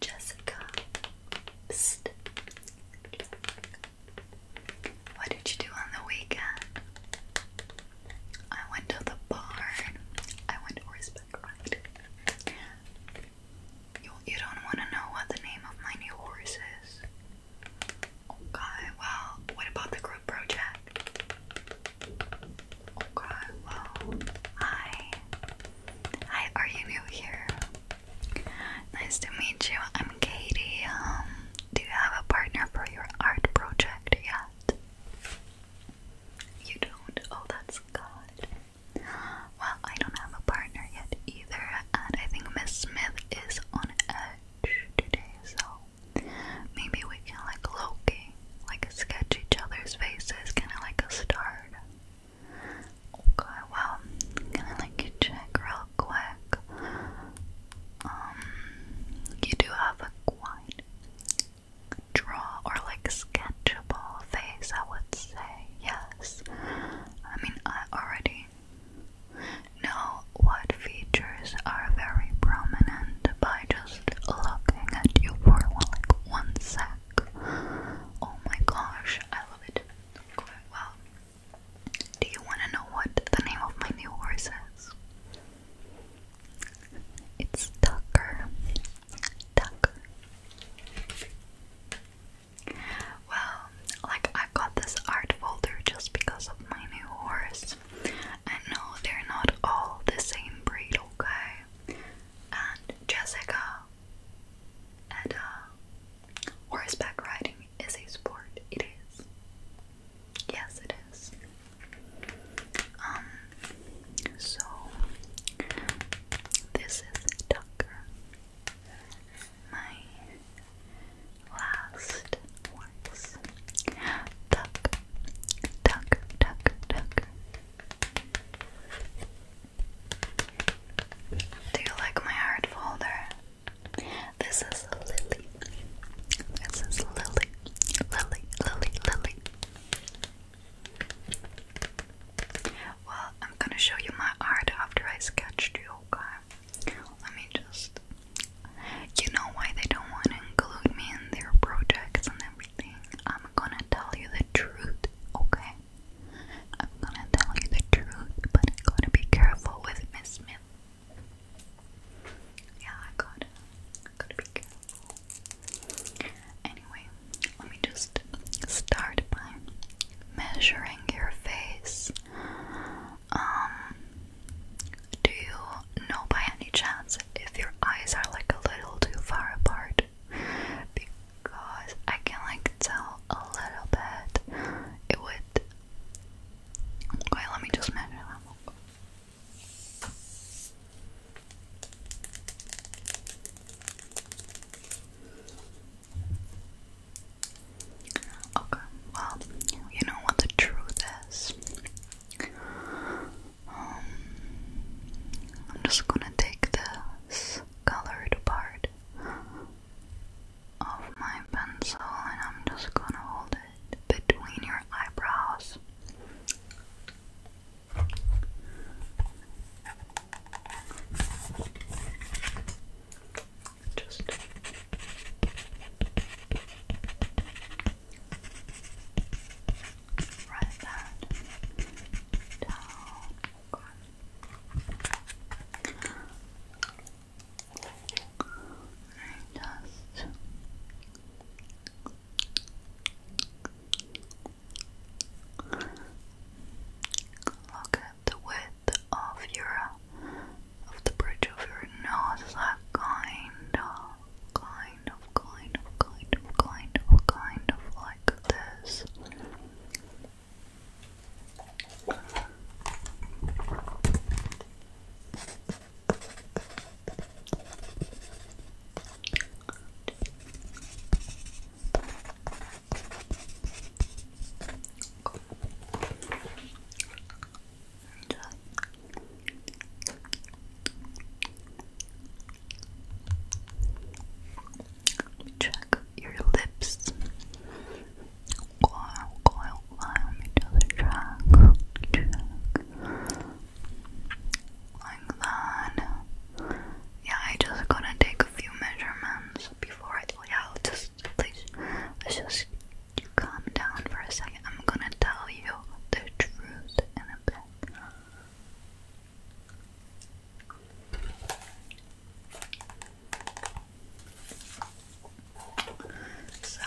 Jessica. What did you do on the weekend? I went to the barn. I went horseback ride. you don't want to know what the name of my new horse is. Okay, well, what about the group project? Okay, well, hi. Hi, are you new here? Nice to meet you. I'm Katie. Um, do you have a partner for your art project yet? You don't? Oh, that's good. Well, I don't have a partner yet either, and I think Miss Smith is on edge today, so Maybe we can, like Loki, like sketch each other's faces, kind of like a start. Okay, well, gonna like check real quick. Um, you do have a quite draw or like sketchable face, I would say. Yes, I mean I already history. what features are very prominent by just looking at you for like one sec. Oh my gosh, I love it. Okay, well, do you want to know what the name of my new horse is? It's Tucker. Tucker. Well, like I got this art folder just because of my new horse, colors. And they're not all the same breed, okay? And Jessica, and uh, horseback riding is a sport. It is. Yes, it is. Um, so this is Tucker, my last words. Duck, duck, duck, duck. Do you like my art folder? This is Lily. This is Lily. Lily, Lily, Lily. Well, I'm gonna show you my art after I sketched you, okay? Let me just. You know why they don't want to include me in their projects and everything? I'm gonna tell you the truth, okay? I'm gonna tell you the truth, but I gotta be careful with Miss Smith. Yeah, I got gotta be careful. Anyway, let me just start by measuring your face. Um, do you know by any chance if your eyes are like a little too far apart? Because I can like tell a little bit. It would. Okay, let me just measure them. Okay, well, you know what the truth is. Um, I'm just gonna take this colored part of my pencil and I'm just gonna hold it between your eyebrows just write that down. just Look at the width of your of the bridge of your nose that kind of kind of kind of kind of kind of kind of like this Check your lips. Yeah, I just gotta take a few measurements before I. Yeah, out. will just. Please. just you calm down for a second. I'm gonna tell you the truth in a bit. So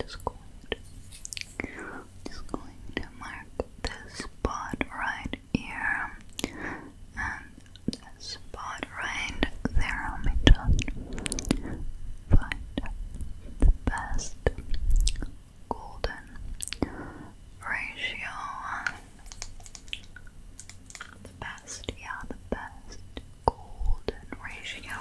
Just going just going to mark this spot right here and this spot right there. Let me find the best golden ratio the best, yeah, the best. Golden ratio.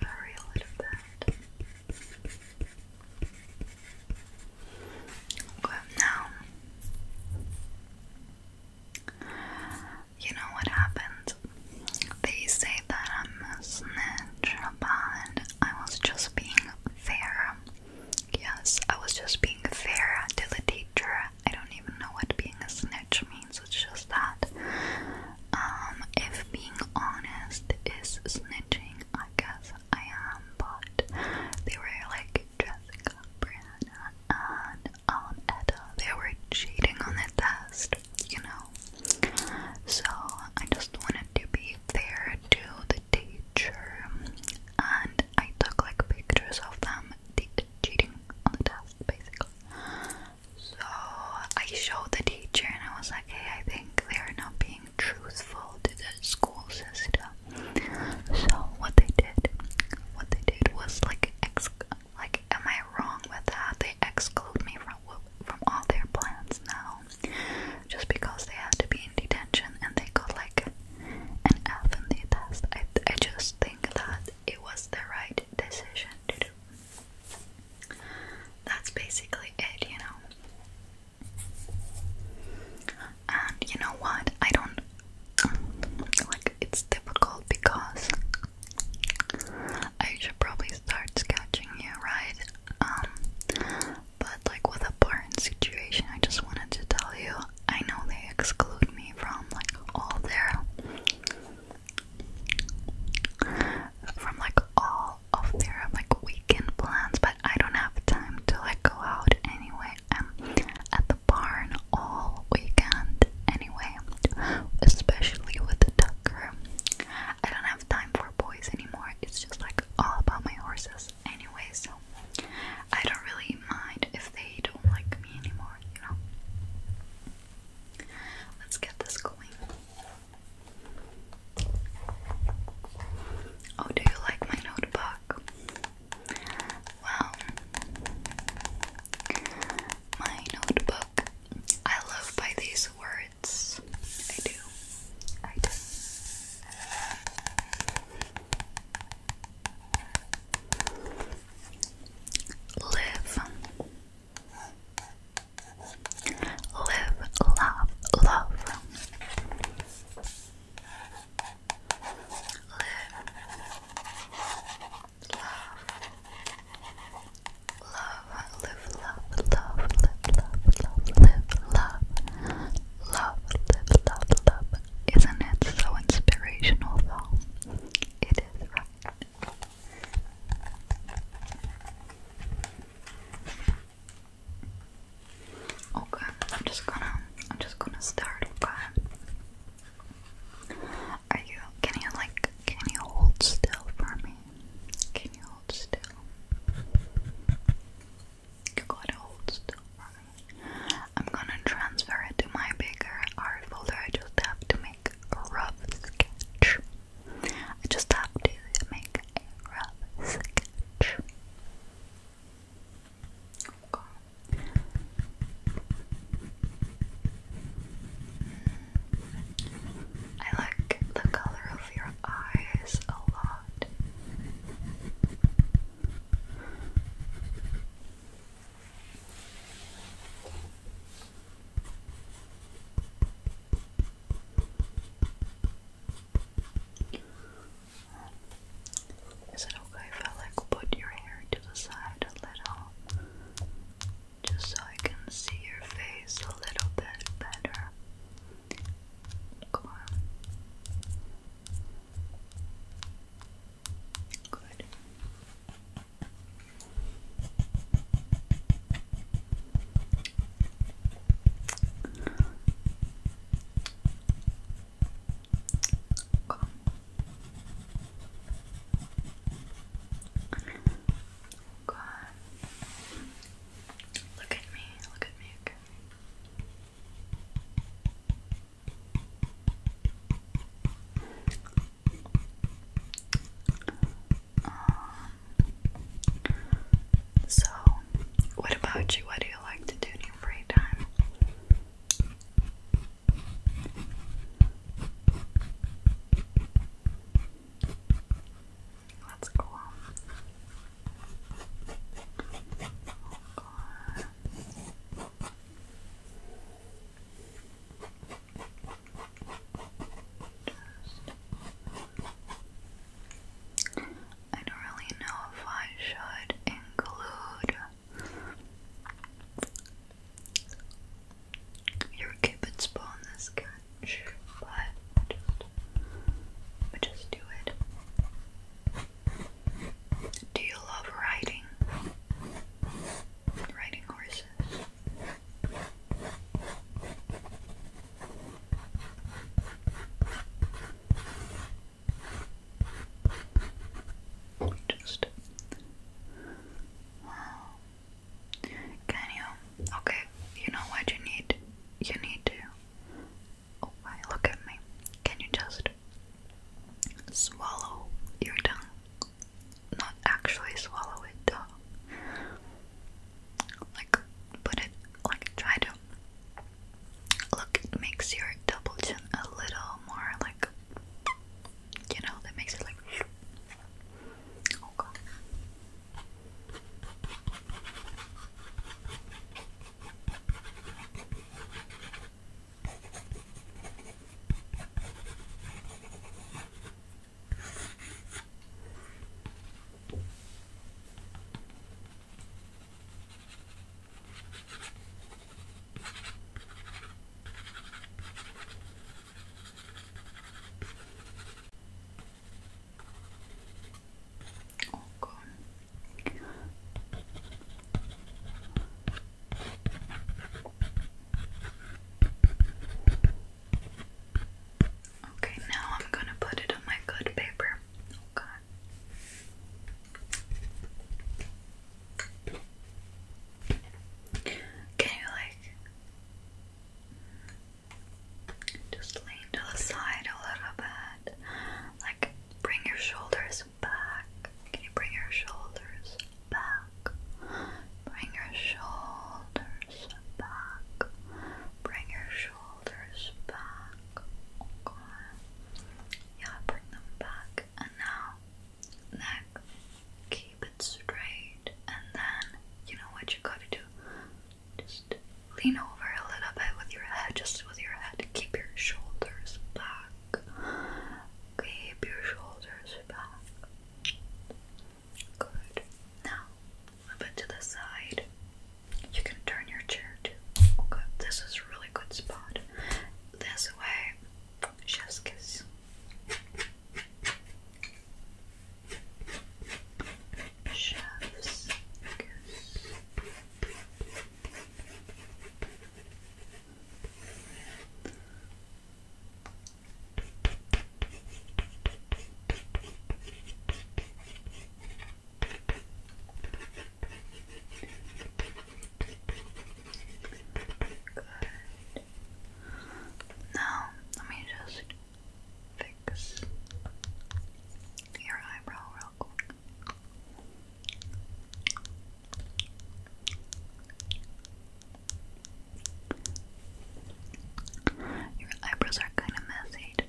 Very little bit. Okay, now you know what happened? They say that I'm a snitch, but I was just being fair. Yes, I was just being fair to the teacher. I don't even know what being a snitch means, it's just that. Um, if being honest is snitching, I guess I am, but they were like, Jessica, Brianna, and um, Etta, they were cheating on the test, you know. So I just wanted to be fair to the teacher, and I took like pictures of them cheating on the test, basically. So I showed the teacher, and I was like, "Hey, I think they are not being truthful to the school system." So what they did, what they did was like ex like, am I wrong with that? They exclude me from from all their plans now, just because they had to be in detention and they got like an F in the test. I I just think that it was the right decision to do. That's basically it, you know. And you know what? I don't like. It's difficult because I should probably start sketching you, right? Um, but like with the barn situation, I just wanted to tell you, I know they exclude me from like all their, from like all of their like weekend plans, but I don't have time to like go out anyway barn all weekend anyway, especially with Tucker. I don't have time for boys anymore, it's just like all about my horses anyway, so I don't really mind if they don't like me anymore, you know. Let's get this going. Oh, do you like my notebook? Well, my notebook. I love by these words. I do. I do. Live. Live, love, love. Live, love, live, love, love, live, love, live, live, love, love, live, love, love. Isn't it so inspirational though? It is right. Okay, I'm just gonna I'm just gonna start, okay? Are you? Can you like? Can you hold still for me? Can you hold still? You gotta hold still for me. I'm gonna transfer it to my bigger art folder. I just have to make a rough sketch. I just have to make a rough sketch. I like the color of your eyes a lot. Is it okay if I like put your hair to the side a little? just so I can see your face a little bit better. Come on. Good. Come. God. Look at me, look at me, okay. Um, so, what about you? What do you like to do in your free time? That's cool. Just I don't really know if I should include you're a cupid's bow this sketch, but but just do it. Do you love riding? Riding horses. Just Can you? Okay, you know what you need. You need to. Oh, why look at me? Can you just swallow your tongue? Not actually swallow it, though. Like put it. Like try to. Look, it makes your double chin a little more like you know, that makes it like. Oh god. Ok. Okay, now I'm going to put it on my good paper. Okay. Oh, can you like just lean to the side a little bit? Like bring your shoulders back. Can you bring your shoulders back? Bring your shoulders back. Bring your shoulders back. Yeah, bring them back. And now neck, keep it straight, and then you know what you gotta do? Just lean over a little bit with your head, just with your head, keep your shoulders back, keep your shoulders back. Good. Now, move it to the side. You can turn your chair too. Okay, this is a really good spot. This way, Chef's kiss. Good. Now, let me just fix your eyebrow real quick. Your eyebrows are kind of messy today.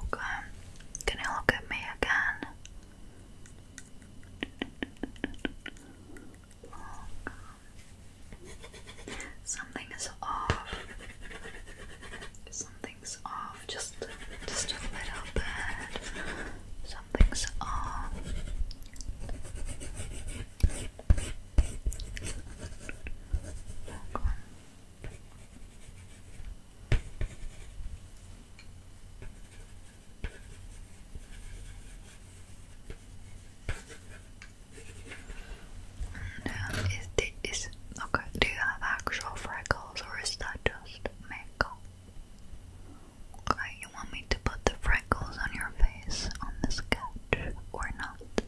Okay, can you look at me again? Something is off. Something's off. Just, just a little bit. Something's off. Back is this is okay? Do you have actual freckles, or is that just makeup? Okay, you want me to put the freckles on your face on the sketch or not?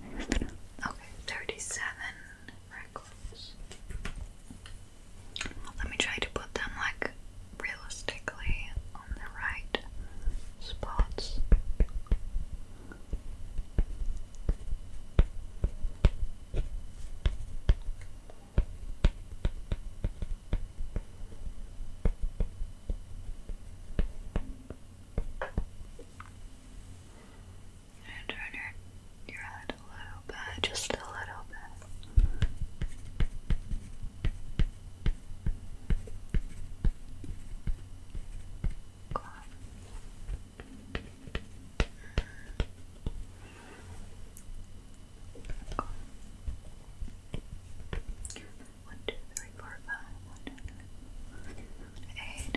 Okay, 37 records. Let me try to put them like realistically on the right spots. And turn your, your head a little bit, just a little bit. Cool. Cool. One, two, three, four, five. One, two, three, eight,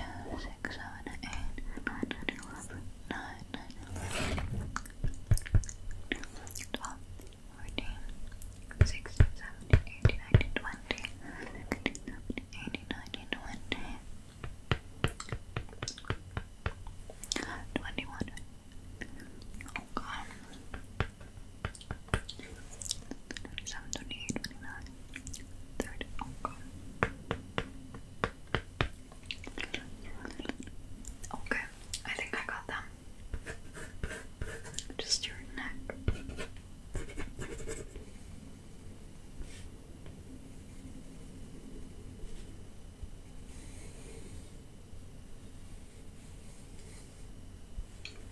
six, seven, eight, nine, nine, eleven, nine, nine, eleven, twelve, fourteen, sixteen, seventeen, eighteen, nineteen, twenty, nineteen, seventeen, eighteen, nineteen, twenty, twenty-one. Oh God. 27, 28, 29, third okay. Oh okay, I think I got them. Just your neck.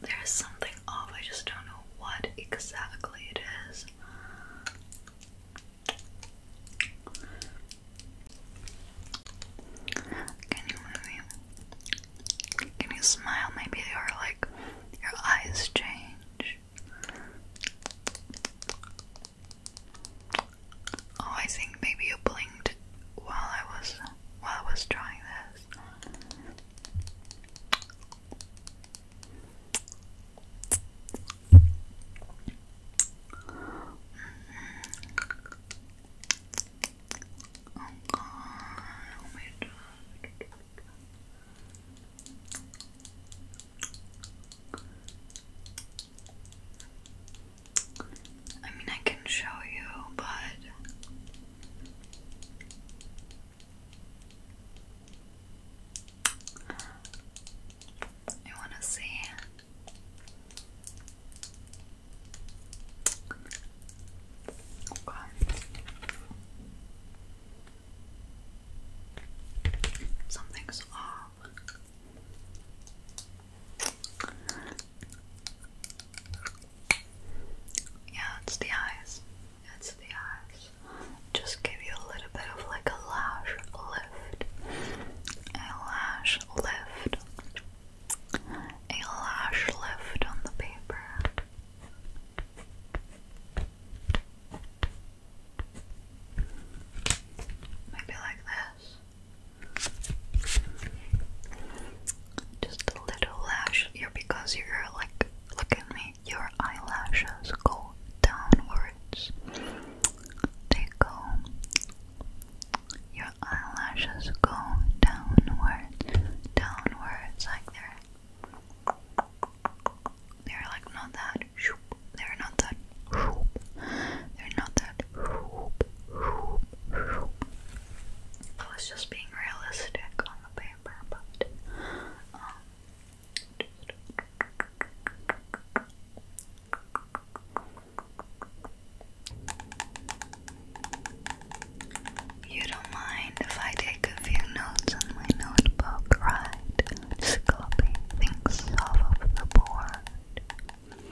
There is something off, I just don't know what exactly it is. Can you maybe, can you smile? Maybe your like your eyes change. Oh, I think maybe you blinked while I was while I was drawing this. Oh god, oh my god. I mean, I can show you, but I want to see. Okay. Something's off. Yeah, it's the eyes. It's the eyes. Just give you a little bit of like a lash lift, a lash lift, a lash lift on the paper. Maybe like this. Just a little lash here because you're like, look at me, your eyelashes go downwards tickle. Your eyelashes go downward, downwards, like they're they're like not that They're not that They're not that I was just being realistic on the paper, but um, you don't mind if I take a few notes on my notebook, right? copy things off of the board.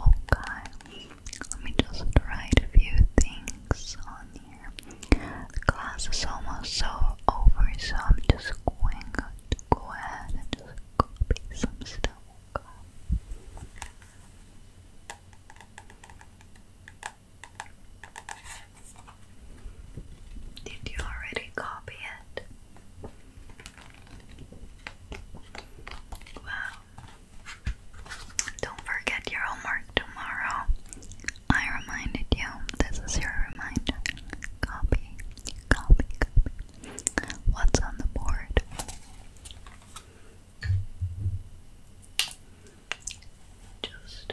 Okay, let me just write a few things on here. class is almost so over, so I'm just going to go ahead and copy some stock. Did you already copy it? Wow. Don't forget your homework tomorrow. I reminded you. This is your reminder. Copy Copy, copy. What's on the board? Just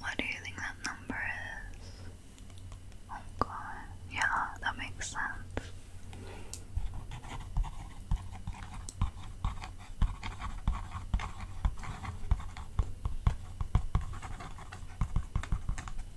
What do you think that number is? Oh god, yeah, that makes sense.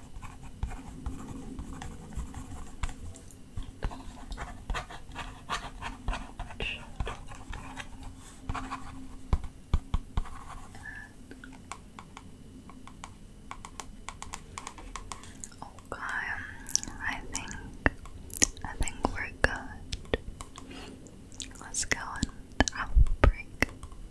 Okay, I think I think we're good. Let's go and i